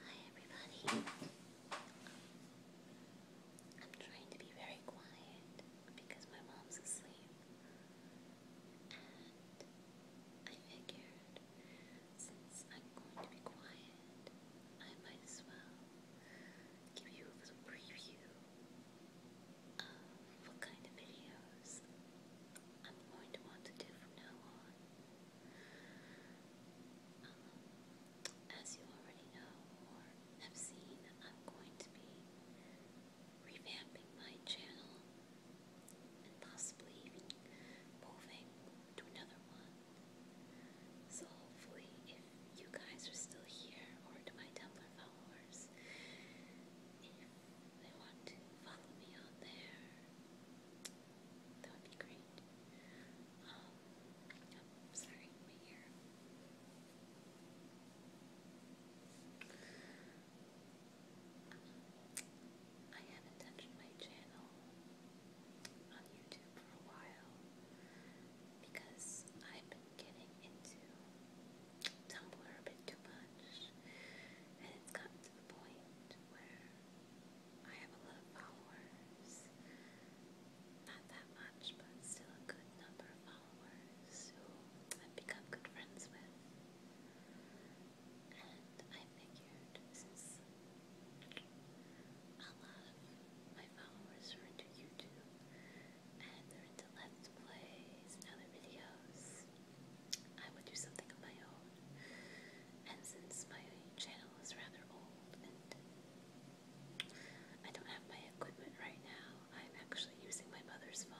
Hi everybody. I'm trying to be very quiet because my mom's asleep. And I figured since I'm going to be quiet, I might as well give you a little preview of what kind of videos I'm going to want to do from now on. Um, as you already know or have seen, I'm going to be revamping my channel and possibly even moving to another one. So, hopefully, if you guys are still here or my Tumblr followers, they want to follow me on there, that would be great. Um, I haven't touched my channel on YouTube for a while because I've been getting into Tumblr a bit too much much. And it's gotten to the point where I have a lot of followers. Not that much, but still a good number of followers who I've become good friends with. And I figured a lot of my followers into YouTube and into Let's Plays and other videos, I would do something of my own. And since my channel is rather old I don't have my equipment right now, I'm actually using my mother's phone.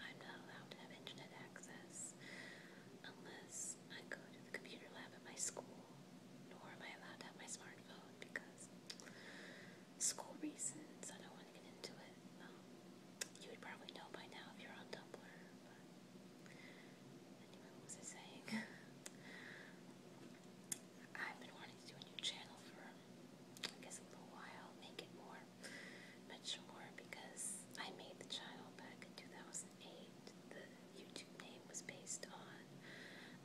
I'm not allowed to have internet access unless I go to the computer lab at my school, nor am I allowed to have my smartphone because school reasons. I don't want to get into it. Um, you would probably know by now if you're on Tumblr, I have been wanting to do a new channel for, I guess, a little while, make it more mature because I made the channel back in 2008. The YouTube name was based on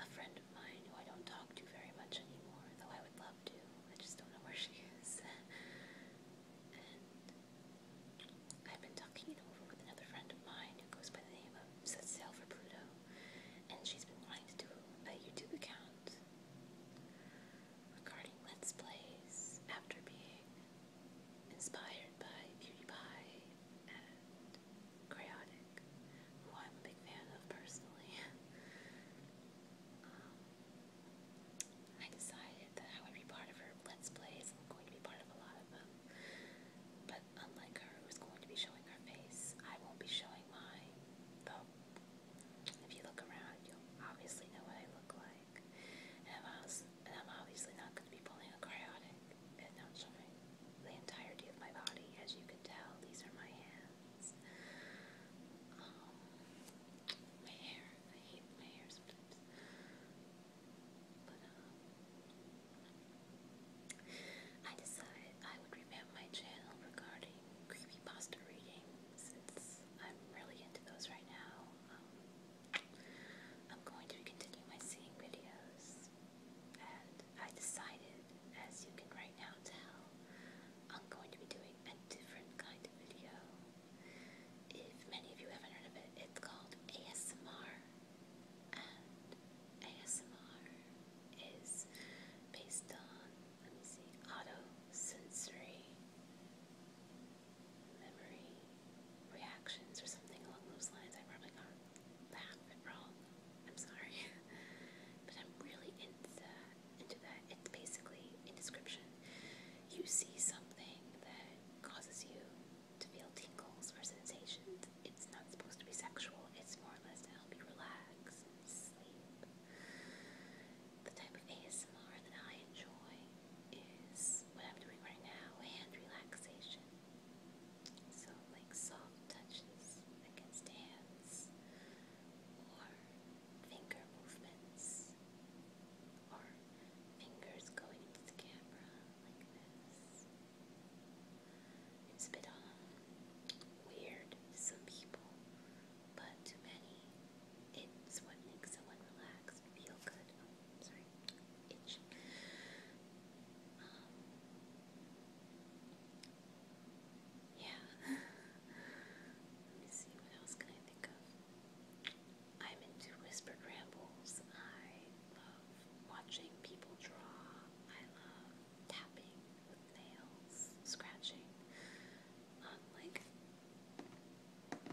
a friend of mine who I don't talk to very much anymore, though I would love to. I just don't know where she is. I've been talking it over with another friend of mine who goes by the name of Set Sail for Pluto, and she's been wanting to do a YouTube account regarding Let's Plays after being inspired by Beauty and Cryotic, who I'm a big fan of personally. Um, I decided that I would be part of her Let's Plays. I'm going to be part of a lot of them. But unlike her, who's going to be showing her face, I won't be showing mine. Though, if you look around, you'll obviously know what I look like. And I'm, also, and I'm obviously not going to be pulling a cariotic and not showing the entirety of my body. As you can tell, these are my hands my hair, I hate my hair sometimes. But, um, I decided I would revamp my channel regarding creepypasta reading since I'm really into those right now. Um, I'm going to continue my seeing videos, and I decided as you can right now tell, I'm going to be doing a different kind of video. If many of you haven't heard of it, it's called ASMR. And ASMR is based on, let me see, auto sensory memory reactions or something along those lines. I probably got that wrong. I'm sorry, but I'm really into Into that, it's basically in description. You see something that causes you to feel tingles or sensations. It's not supposed to be sexual. It's more or less to help you relax and sleep. The type of ASMR that I enjoy is what I'm doing right now, and relaxation. So, like soft touches against hand or finger movements or fingers going into the camera like this. It's a bit uh, weird some people, but to many, it's what makes someone relax, feel good. Oh, sorry, itch. Um, yeah. Let me see, what else can I think of? I'm into whispered rambles. I love watching people draw. I love tapping with nails, scratching um, like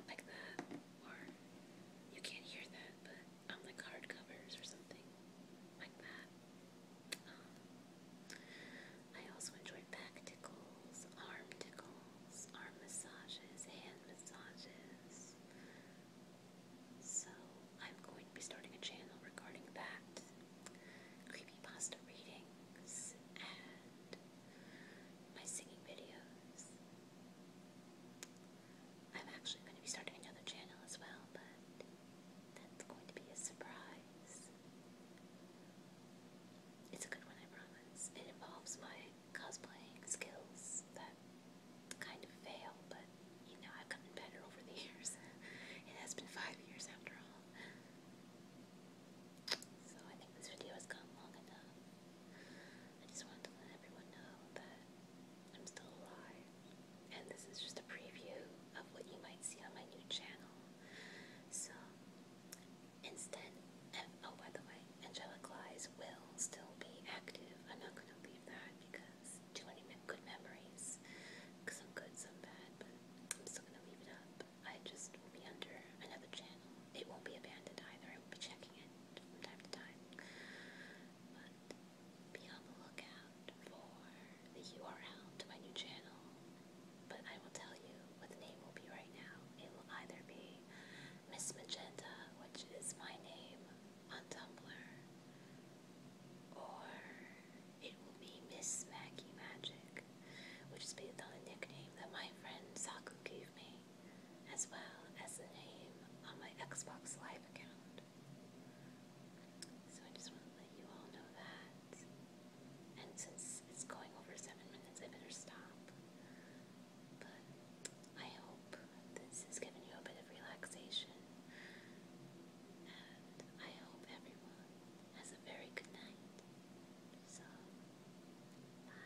like that. Or you can't hear that, but on the card covers or something like that. Um, I also enjoy back tickles, arm tickles, arm massages, hand massages. So I'm going to be starting a channel regarding that. Creepy pasta readings and my singing videos. I'm actually going to be starting another channel as well, but that's going to be a surprise. It's a good one, I promise. It involves my cosplaying skills that kind of fail, but you know, I've gotten better over the years. it has been five years after all. So I think this video has gone long enough. I just wanted to let everyone know that I'm still alive. And this is just a preview of what you might see on my new channel. So, instead, oh, by the way, angelic lies will still be active. I'm not going to leave that because too many good memories. Some good, some bad, but I'm still going to leave it up. I just will be under another channel. It won't be abandoned either. I will be checking it from time to time. But be on the lookout for the URL to my new channel, but I will tell you what the name will be right now. It will either be Miss Magenta, which is my name on Tumblr, or it will be Miss Maggie Magic, which is based on the nickname that my friend Saku gave me as well as the name on my Xbox Live account. So I just want to let you all know that. And since it's going over seven minutes, I better stop. But I hope this has given you a bit of relaxation. And I hope everyone has a very good night. So, bye.